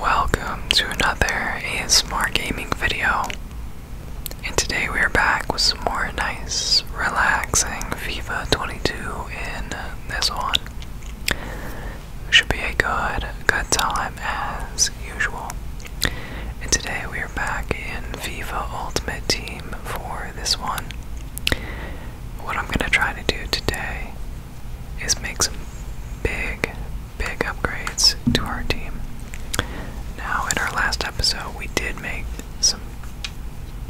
Welcome to another ASMR gaming video. And today we are back with some more nice, relaxing FIFA 22 in this one. Should be a good, good time as usual. And today we are back in FIFA Ultimate Team for this one. What I'm going to try to do today is make some big, big upgrades to our team. Now, in our last episode, we did make some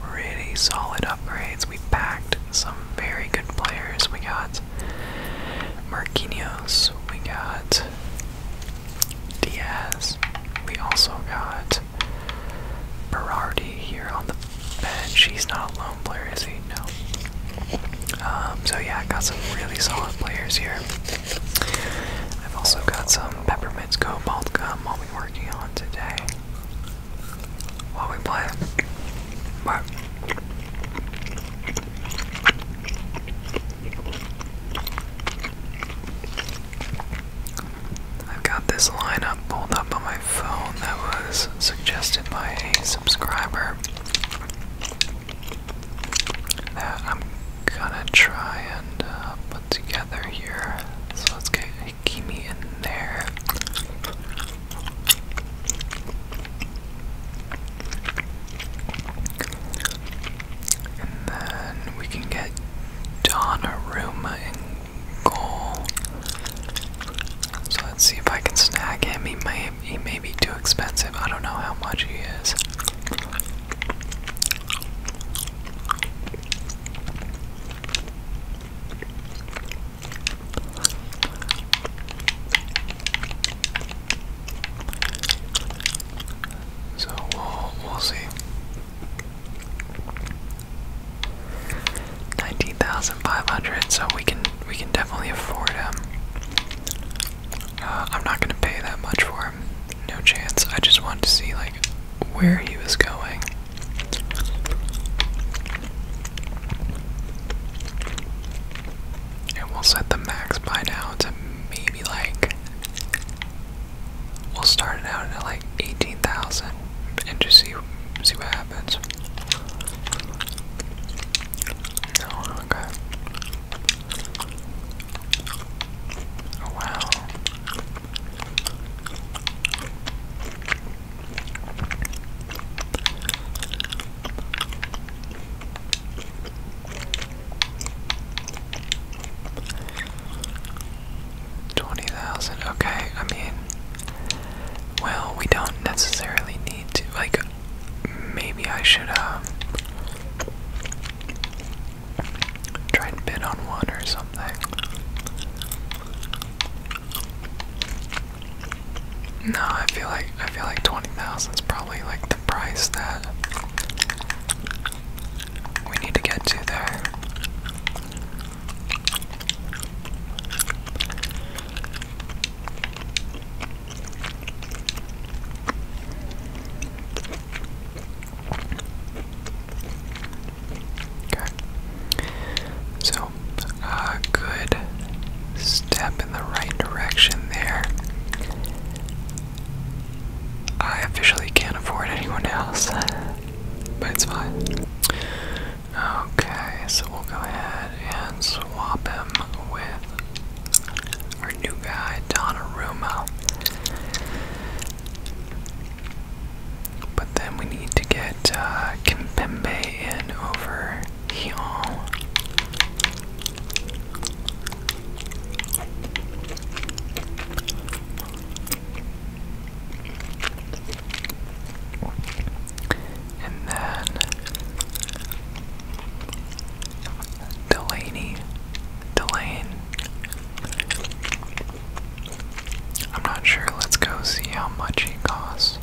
pretty solid upgrades. We packed some very good players. We got Marquinhos, we got Diaz, we also got Berardi here on the bench. she's not alone. lone player, is he? No. Um, so yeah, I got some really solid players here. I've also got some peppermints cobalt gum I'll be working on today while we play. But I've got this lineup pulled up on my phone that was suggested by a subscriber that I'm gonna try and uh, put together here. So let's get Hikimi in there. And then we can get Donnarumma in so let's see if I can snag him. He may he may be too expensive. I don't know how much he is. So we'll we'll see. Nineteen thousand five hundred, so we can we can definitely afford him. Uh, I'm not gonna pay that much for him, no chance. I just want to see like where he was going. And we'll set the max by now to maybe like we'll start it out at like eighteen thousand and just see See what happens. No, okay. Oh, wow. Twenty thousand, okay, I mean well, we don't necessarily need to. Like, maybe I should um, try and bid on one or something. No, I feel like I feel like twenty thousand is probably like the price that we need to get to there. Okay. So, a good step in the right direction there. I officially can't afford anyone else, but it's fine. Okay, so we'll go ahead and swap him with our new guy, Donnarumma. But then we need to get uh, in over here and then Delaney, Delane. I'm not sure. Let's go see how much he costs.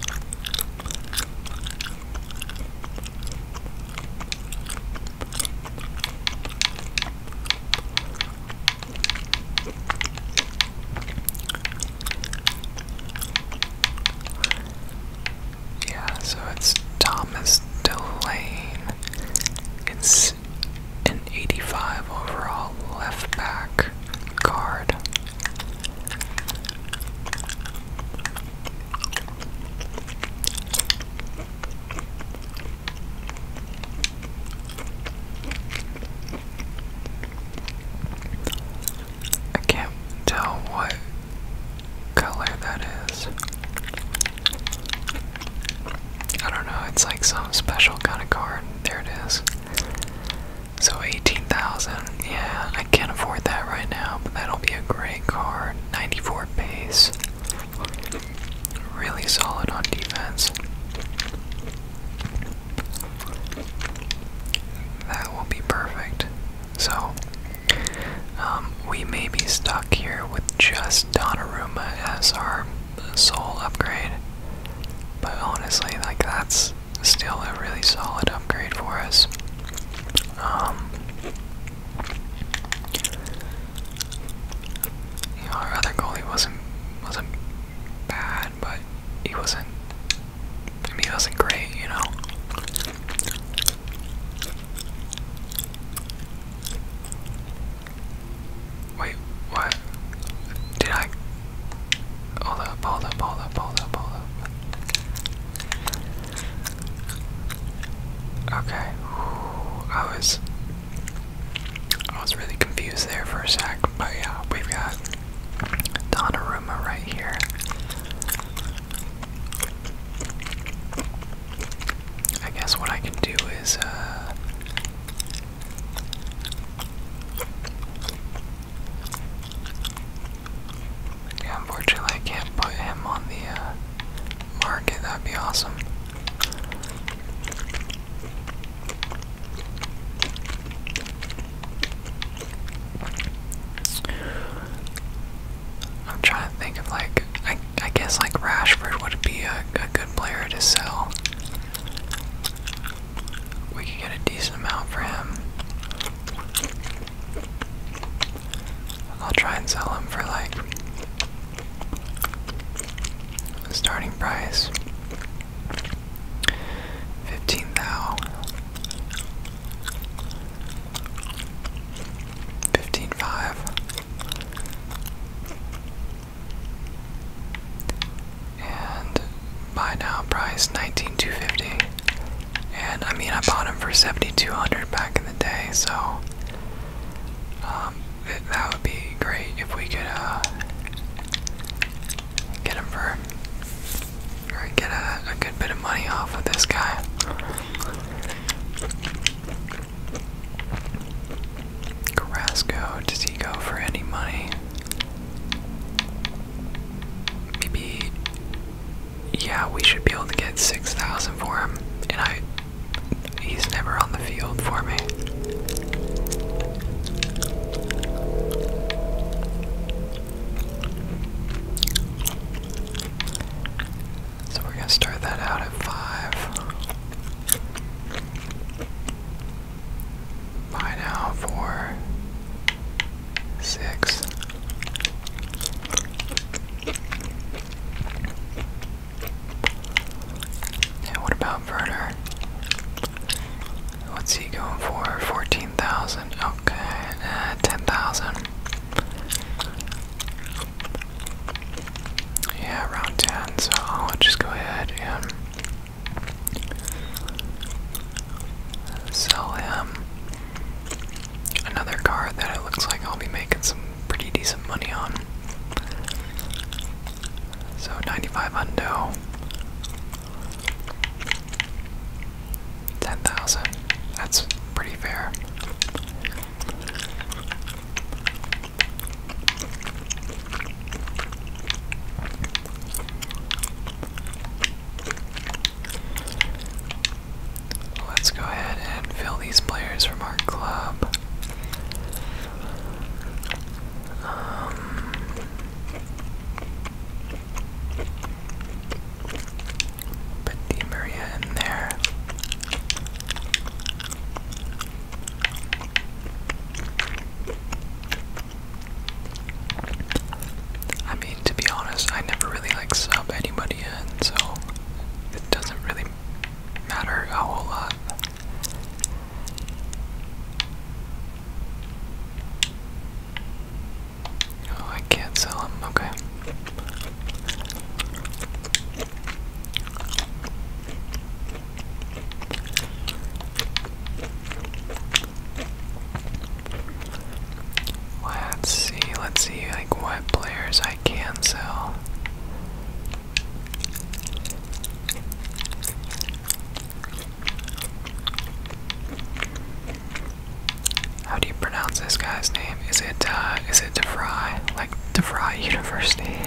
Yeah, so it's Thomas Delaney. It's an 85 overall left back card. I can't tell what color that is. I don't know, it's like some special kind of card. There it is. So 18,000. Yeah, I can't afford that right now, but that'll be a great card. 94 base. Really solid on defense. That will be perfect. So, um, we may be stuck here with just Donna Donnarumma as our sole upgrade. But honestly, like, that's still a really solid upgrade for us. Um, our other goalie wasn't wasn't bad, but he wasn't I mean, it wasn't great, you know. Wait, what? Did I? Hold up, hold up, hold up, hold up, hold up. Okay, I was, I was really confused there for a sec, but yeah, we've got Donnarumma right here. I guess what I can do is, uh, yeah, unfortunately I can't put him on the, uh, market, that'd be awesome. I'm trying to think of like I I guess like Rashford would be a, good player to sell. We could get a decent amount for him. I'll try and sell him for like the starting price. Fifteen thou. Fifteen five. And buy now price nineteen two fifty. And I mean I bought him for seventy two hundred back in the day, so um, it, that would be great if we could uh, get him for or get a, a good bit of money off of this guy. Carrasco, does he go for any money? Maybe, yeah, we should be able to get 6,000 for him, and I, he's never on the field for me. So we're gonna start that out at five. By now, four, six. And what about Verner? What's he going for? 14,000. Okay, uh, 10,000. Yeah, around 10, so I'll just go ahead and sell him another car that it looks like I'll be making some pretty decent money on. So 95 undo. Ten thousand. That's pretty fair. Let's go ahead and fill these players from our club. Um, Put Di in there. I mean, to be honest, I never really like sub anybody in, so it doesn't really matter a whole lot. Oh, I can't sell them. Okay. Let's see, let's see like what players I can sell. How do you pronounce this guy's name? Is it uh is it DeFry? Like DeFry University.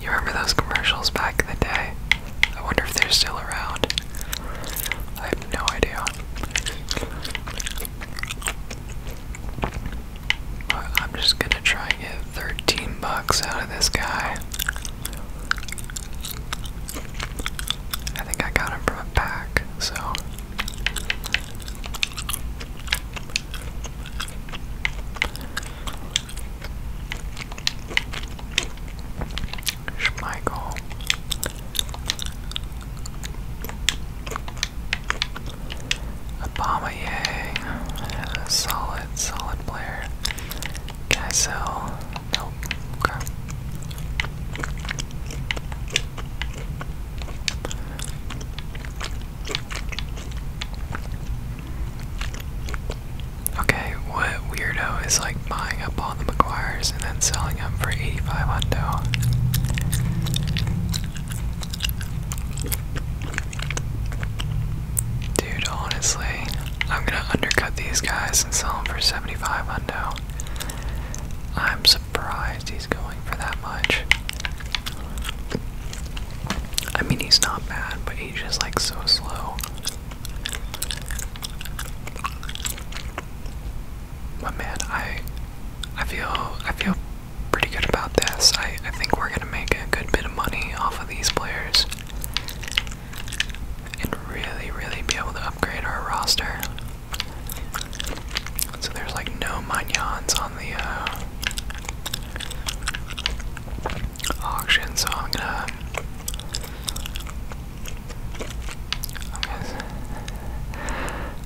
You remember those commercials back in the day? I wonder if they're still around. I have no idea. I'm just gonna try and get 13 bucks out of this guy. I think I got him from a pack, so. Schmeichel. Obama, yay. Solid, solid player. Can I Nope. Okay. Okay, what weirdo is like buying up all the McGuires and then selling them for 85 Dude, honestly, I'm gonna undercut these guys and sell them for 75 undo. I'm surprised he's going for that much. I mean, he's not bad, but he's just like so slow. But man, I, I feel, I feel pretty good about this. I, I think we're gonna make a good bit of money off of these players and really, really be able to upgrade our roster. So there's like no Munyons on the uh, auction, so I'm gonna.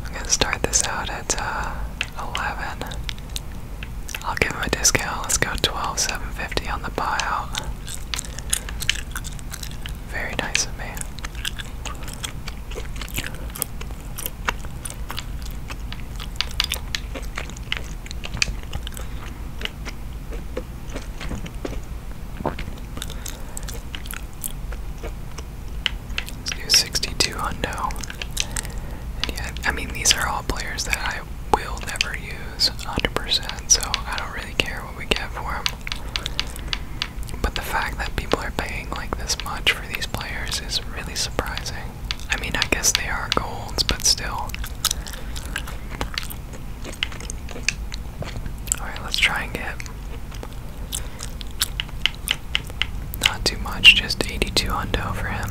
I'm gonna, start this out at uh, 11. I'll give him a discount. Let's go 12 750 on the buyout. Very nice of me. Let's do 62 hundo. And yeah, I mean, these are all players that I I will never use 100%, so I don't really care what we get for him. But the fact that people are paying like this much for these players is really surprising. I mean, I guess they are golds, but still. Alright, let's try and get. Not too much, just 82 hundo for him.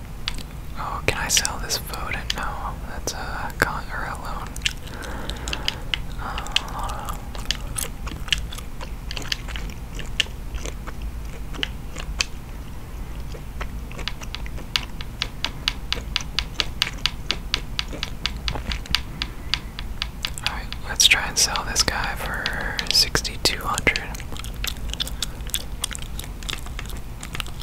Oh, can I sell this food? No, that's a uh, con or a loan. Alright, let's try and sell this guy for 6,200.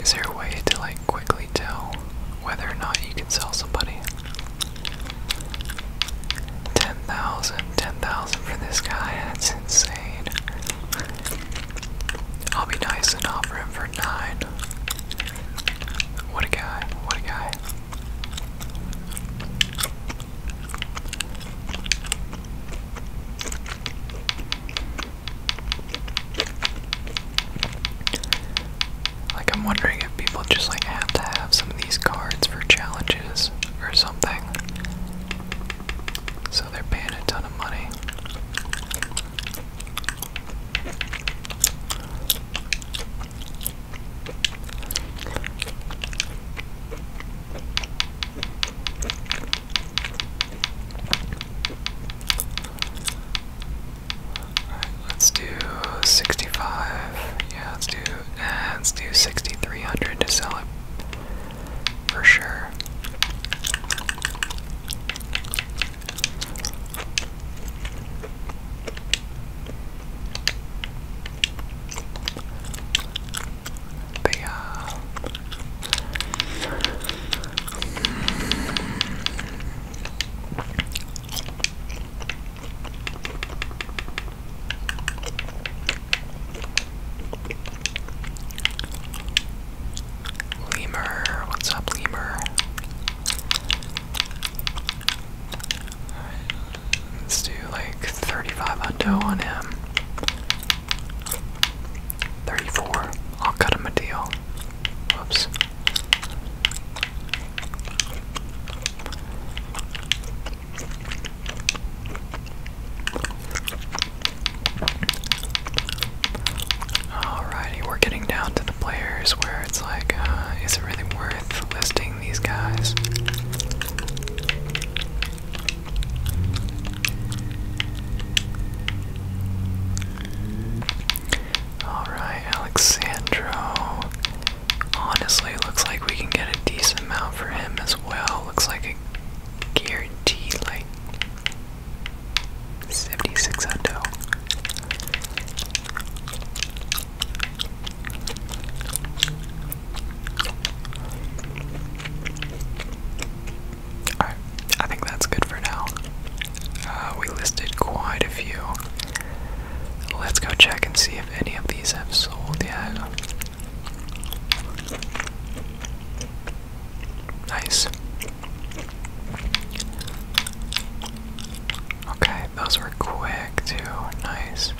Is there a way to like quickly tell whether or not you can sell somebody? 10,000, 10,000 for this guy, that's insane. I'll be nice and offer him for 9. What a guy, what a guy. Like, I'm wondering if people just like have to have some of these cards for challenges or something. So they're paying a ton of money let's do 65. Yeah, let's do, nah, uh, let's do 6,300 to sell it for sure. They, Lemur, what's up, Lemur? Let's do like 35 on hundo on him. 34. I'll cut him a deal. Whoops. Alrighty, we're getting down to the players where it's like, uh, is it really worth listing these guys? Alright, Alexandro. Honestly, looks like we can get a decent amount for him as well. Looks like a guaranteed, like, 76 endo. I think that's good for now. Uh, we listed quite a few. Let's go check and see if any of these have sold yet. Nice. Okay, those were quick too. Nice.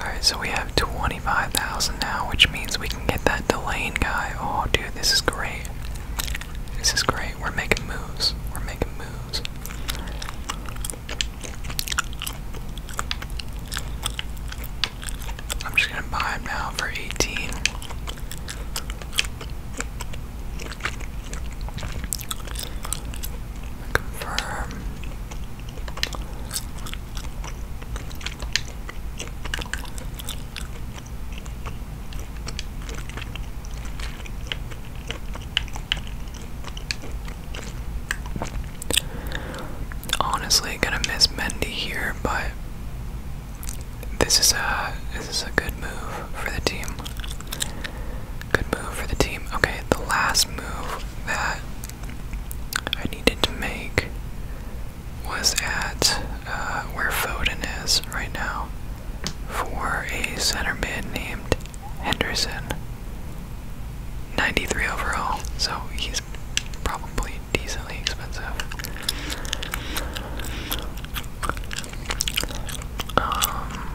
Alright, so we have 25,000 now, which means we can get that Delane guy. Oh, dude, this is great. This is great. We're making moves. We're making moves. I'm just gonna buy him now for 18. Confirm. Honestly, gonna miss Mendy here, but this is a this is a good move for the team. Good move for the team. Okay, the last move that I needed to make was at uh, where Foden is right now for a center mid named Henderson. 93 overall, so he's probably decently expensive. Um,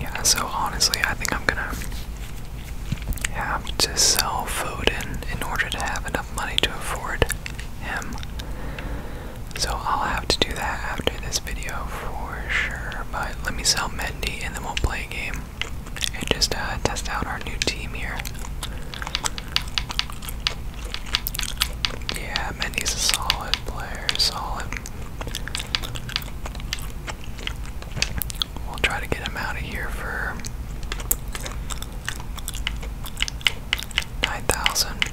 yeah, so honestly, I think I'm gonna have to sell Foden in order to have enough money to afford him. So I'll have to do that after this video for sure. But let me sell Mendy and then we'll play a game and just uh, test out our new team here. Yeah, Mendy's a solid player, solid. We'll try to get him out of here for 9,000.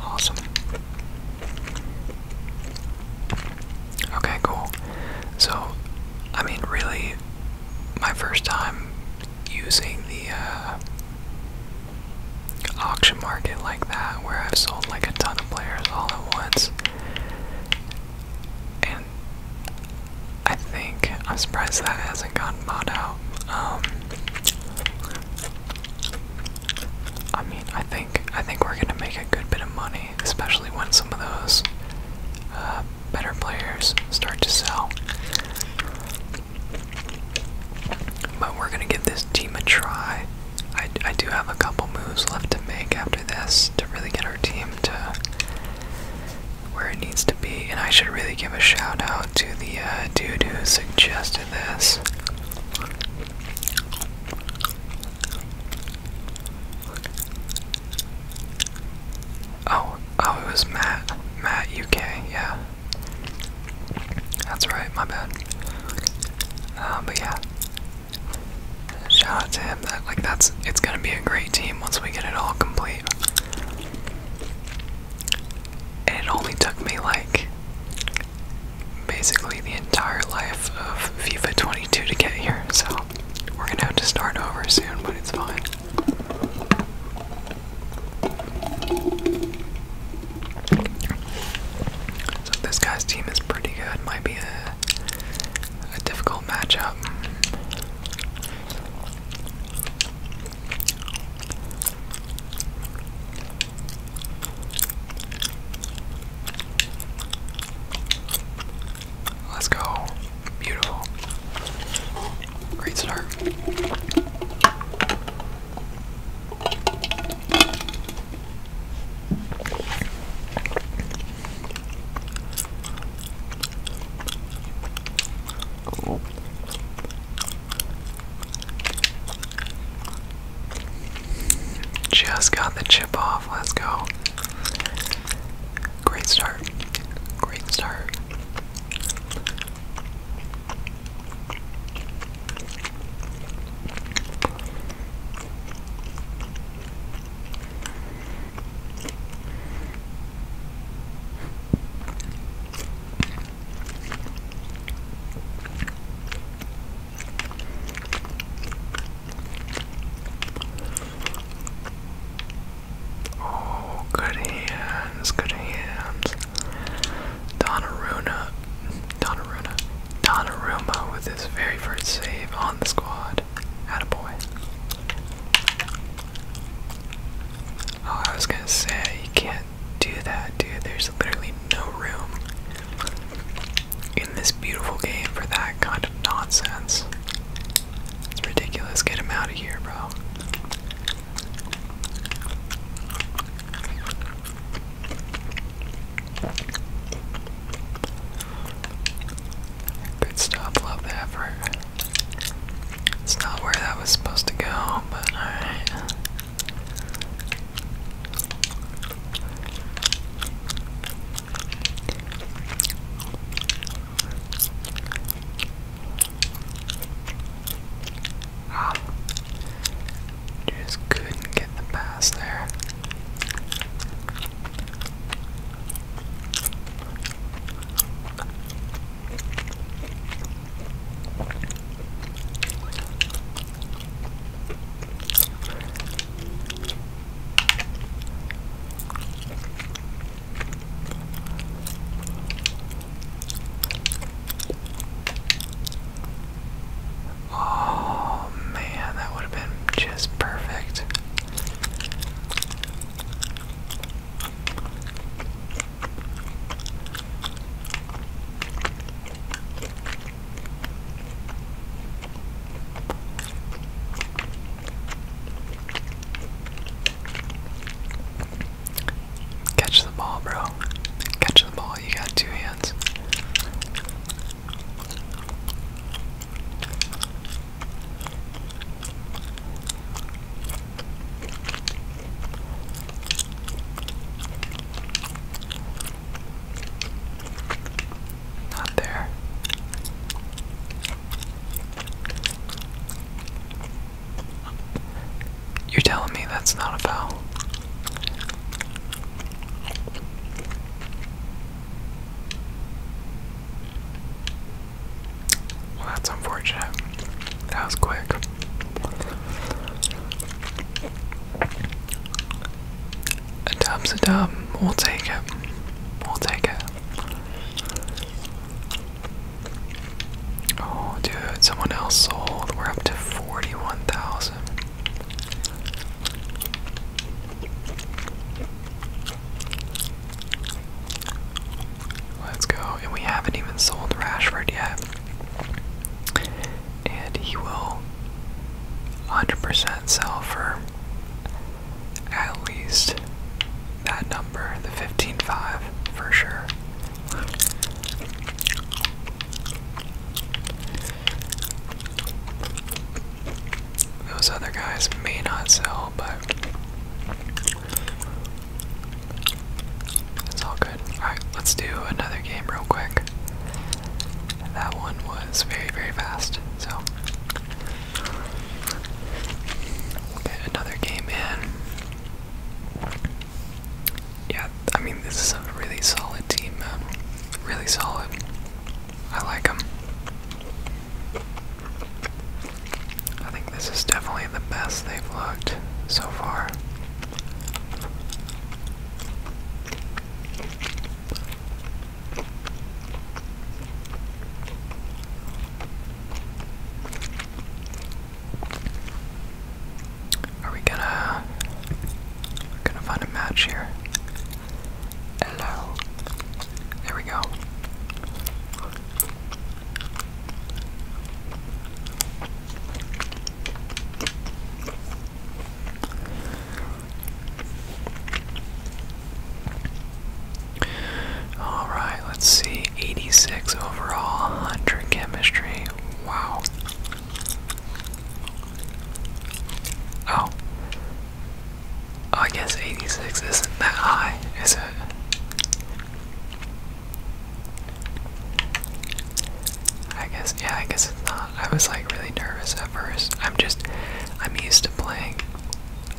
Awesome. Okay, cool. So, I mean, really, my first time using the uh, auction market like that where I've sold like a ton of players all at once. And I think I'm surprised that hasn't gotten bought out. Um, I mean, I think I think we're gonna make a good bit of money, especially when some of those uh, better players start to sell. But we're gonna give this team a try. I, I do have a couple moves left to make after this to really get our team to where it needs to be. And I should really give a shout out to the uh, dude who suggested this. Oh, oh, it was Matt. Matt UK, yeah. That's right, my bad. Uh, but yeah, shout out to him. like that's it's gonna be a great team once we get it all complete. it only took me like basically the entire life of FIFA 22 to get here, so we're gonna have to start over soon, but it's fine. So this guy's team is pretty good. Might be a, a difficult matchup. Let's go. Beautiful. Great start. Just got the chip off. Let's go. Great start. Great start. Oh, good hands, good hands. Donnarumma, Donnarumma, Donnarumma with his very first save on the squad. Attaboy. Oh, I was gonna say, you can't do that, dude. There's literally no room in this beautiful game for that kind of nonsense. It's ridiculous. Get him out of here, bro. Good stuff, love the effort. It's not where that was supposed to go, but alright. Just couldn't get the pass there. Oh man, that would have been just perfect. Catch the ball, bro. Catch the ball. You got two hands hands. Not there. You're telling me that's not a foul? Well, that's unfortunate. That was quick. A dub's a dub. We'll take it. We'll take it. Oh, dude, someone else sold. We're up to 41,000. Let's go. And we haven't even sold Rashford yet. And he will 100% sell for at least that number, the 15.5 for sure. Those other guys may not sell, but it's all good. Alright, let's do another game real quick. That one was very, very fast, so get another game in yeah, I mean, this is a really solid team, man. Really solid. I like them. I think this is definitely the best they've looked so far. Are we gonna gonna find a match here? Hello. There we go. All right, let's see. 86 overall, 100 chemistry. Wow. Oh. oh. I guess 86 isn't that high, is it? I guess, yeah, I guess it's not. I was like really nervous at first. I'm just, I'm used to playing.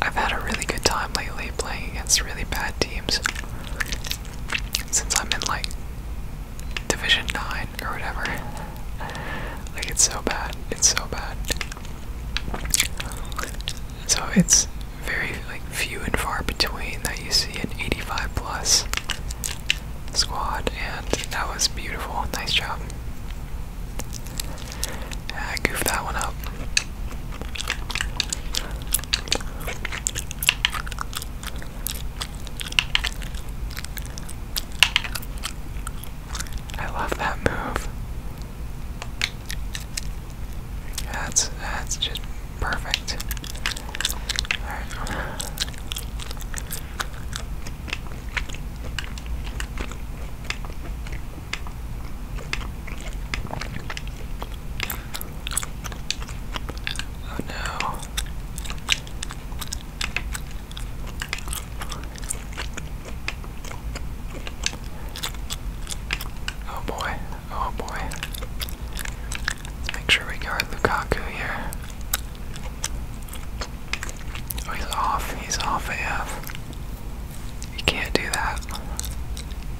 I've had a really good time lately playing against really bad teams. Since I'm in like Division 9 or whatever. like, it's so bad. It's so bad. So, it's very, like, few and far between that you see an 85 plus squad, and that was beautiful. Nice job. I goofed that one up. I love that move. That's that's just perfect. All right. Oh no. Oh boy, oh boy. make sure we guard Lukaku here. Oh, he's off, he's off AF. You can't do that.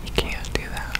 You can't do that.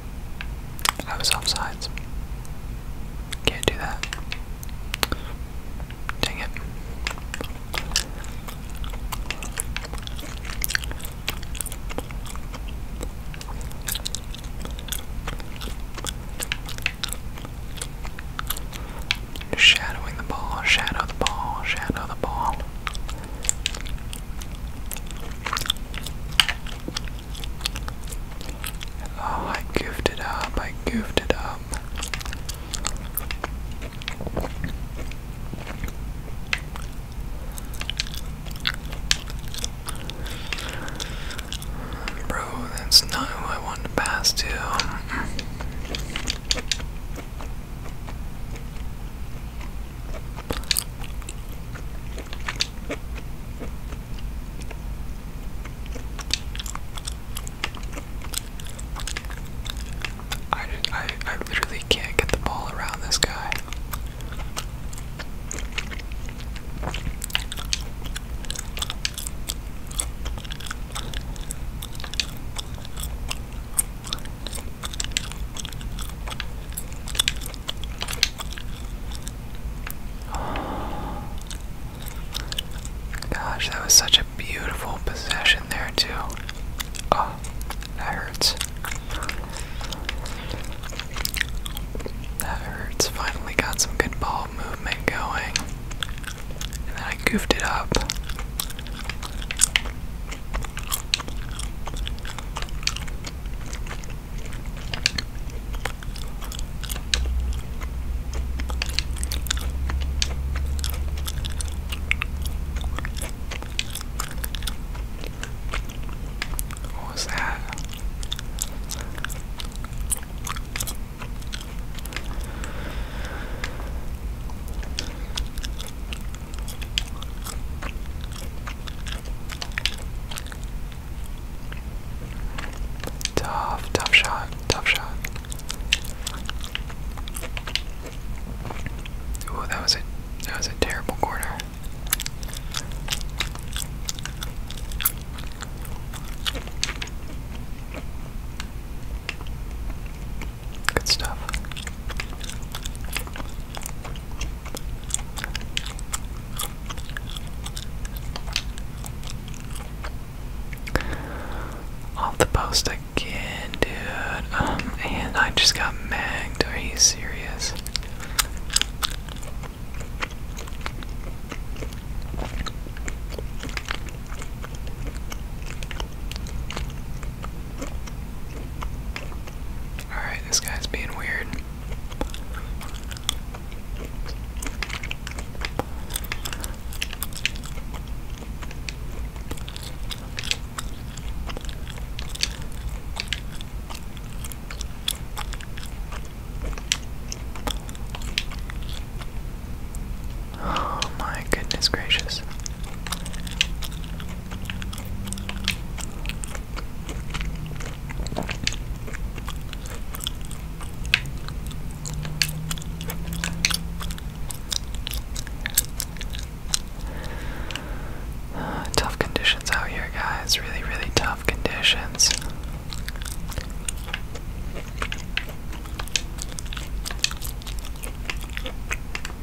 I was offsides. Can't do that. Dang it. Shadowing the ball, shadow the ball, shadow the ball. Oh, I goofed it up. I goofed it up. Bro, that's not who I want to pass to. I, I, I literally can't get the ball around this guy. Gosh, that was such a beautiful possession there, too. Oh, that hurts. That hurts. Finally got some good ball movement going. And then I goofed it up. What was that? Tough, tough shot, tough shot. Ooh, that was a that was a terrible corner. Good stuff. Off the post again, dude. Um, and I just got magged. Are you serious? Alright, this guy's being weird. Oh, my goodness gracious tough conditions out here, guys. Really, really tough conditions.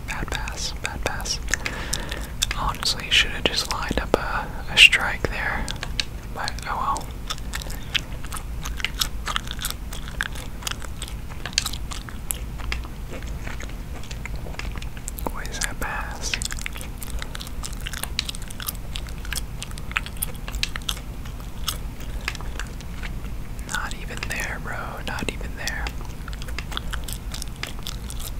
Bad pass, bad pass. Honestly, should have just lined up a strike there. But oh well. What is that pass? Not even there, bro. Not even there.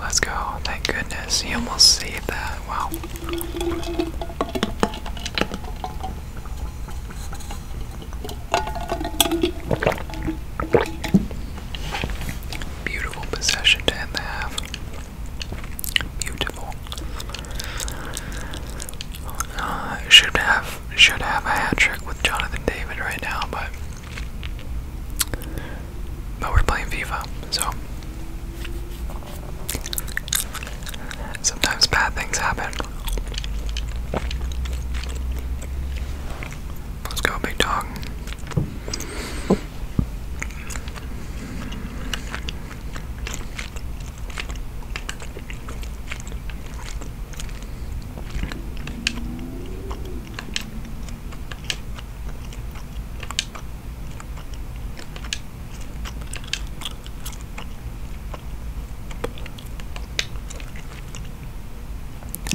Let's go. Thank goodness. He almost saved that. Wow. Beautiful possession to end the half. Beautiful. Uh, should have should have a hat trick with Jonathan David right now, but but we're playing FIFA, so sometimes bad things happen. Let's go, big dog.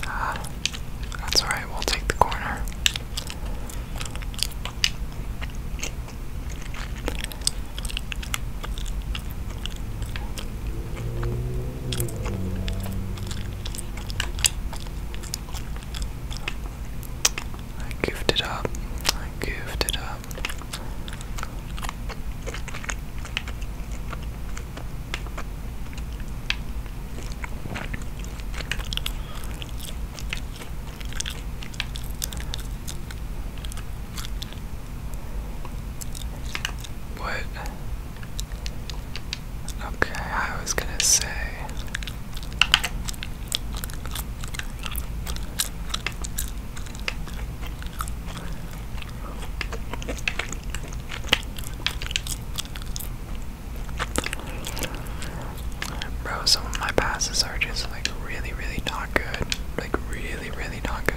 Ah, that's all right. We'll take the corner. I goofed it up. I goofed it up. What? Okay, I was gonna say. Bro, some of my passes are just like really, really not good. Like, really, really not good.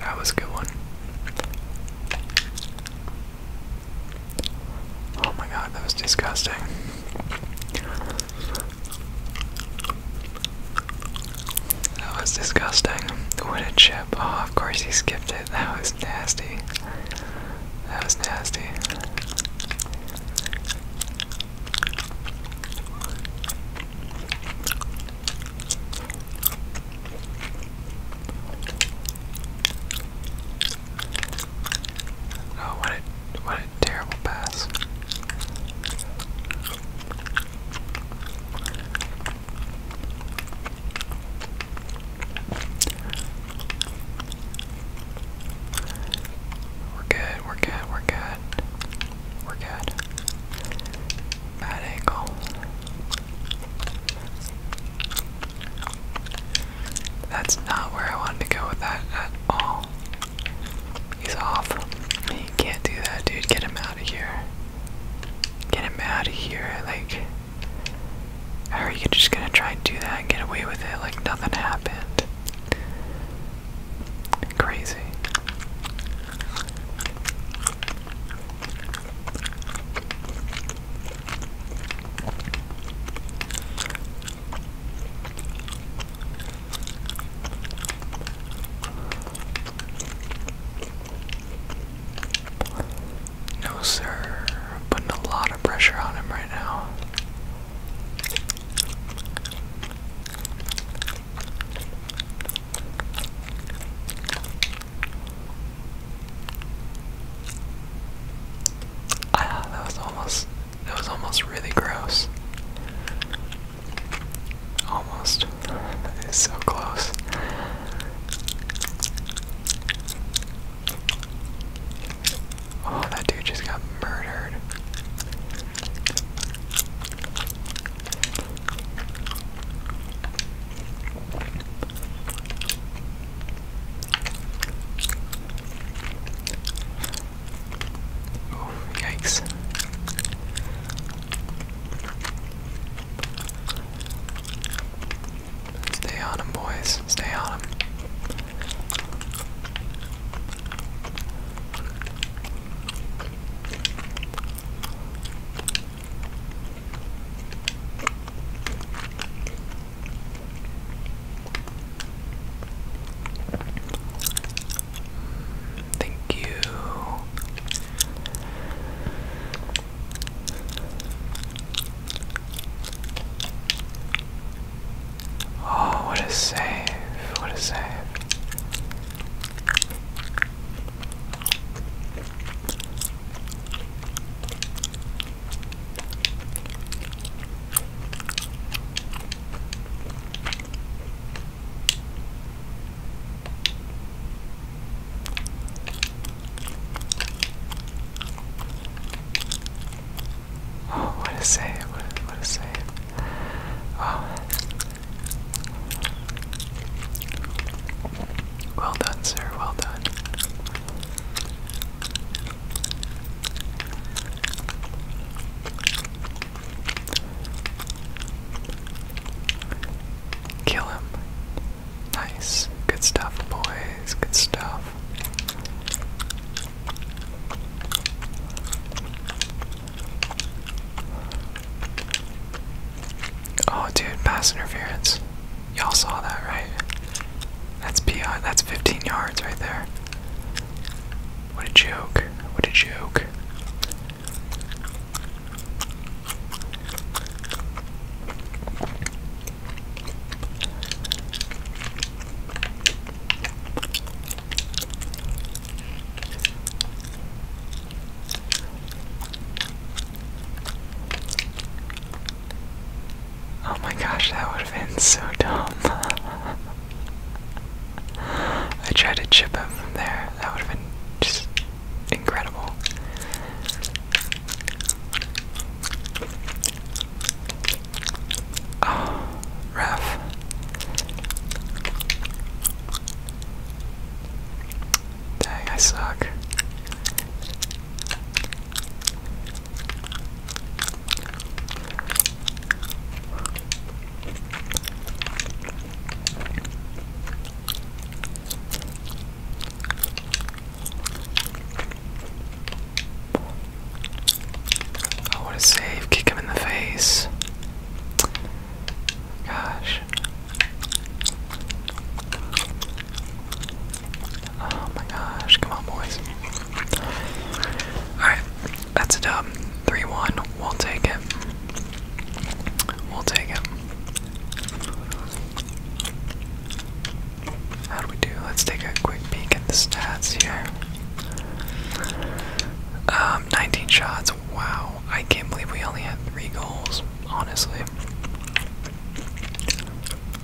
That was a good one. Oh my god, that was disgusting. That was disgusting. What a chip. Oh, of course he skipped it. That was nasty. That was nasty. Oh, what a, what a terrible pass. We're good, we're good, we're good. We're good. Bad angle. That's not where I wanted to go with that at all. He's off. You can't do that, dude. Get him out of here. Get him out of here. Like, are you just gonna try and do that and get away with it like nothing happened? Crazy. No, sir. putting a lot of pressure on him right now. Ah, that was almost that was almost really gross. Almost. It's so close. Oh, that dude just got murdered. Oh, yikes. Stay on him, boys. Stay on him. Thank you. Oh, what a save! What a save! Oh, what a save! What what a save! Oh, well done, sir. Well done. Kill him. Nice. Good stuff, boys. Good stuff. Oh, dude, pass interference. Y'all saw that, right? That's beyond. That's 15 yards right there. What a joke! What a joke! Oh my gosh, that would have been so dumb. I tried to chip him from there. That would have been just incredible. Oh, ref. Dang, I suck. Oh, what a save. Kick him in the face. Gosh. Oh my gosh. Come on, boys. Alright, that's a dub. 3 1. We'll take it. We'll take it. How do we do? Let's take a quick peek at the stats here. Um, 19 shots, Wow, I can't believe we only had three goals, honestly.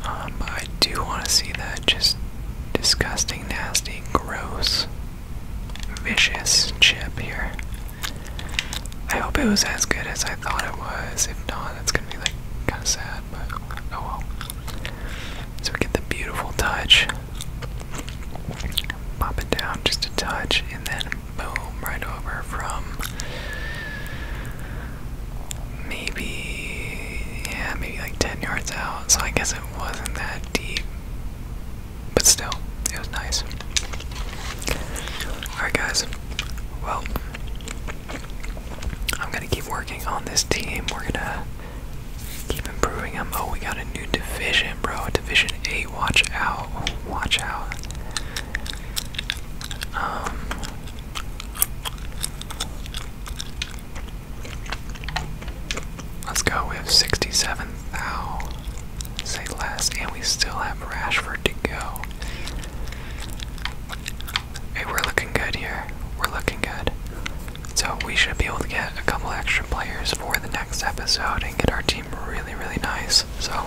Um, I do want to see that just disgusting, nasty, gross, vicious chip here. I hope it was as good as I thought it was. If not, that's gonna be like kind of sad, but oh well. So we get the beautiful touch. Pop it down just a touch, and then boom, right over from maybe, yeah, maybe like 10 yards out. So I guess it wasn't that deep, but still, it was nice. Alright, guys, well, I'm gonna keep working on this team. We're gonna keep improving them. Oh, we got a new division, bro. Division A, watch out. Watch out. Um Let's go with 67 Say less, and we still have Rashford to go. Hey, we're looking good here. We're looking good. So we should be able to get a couple extra players for the next episode and get our team really, really nice. So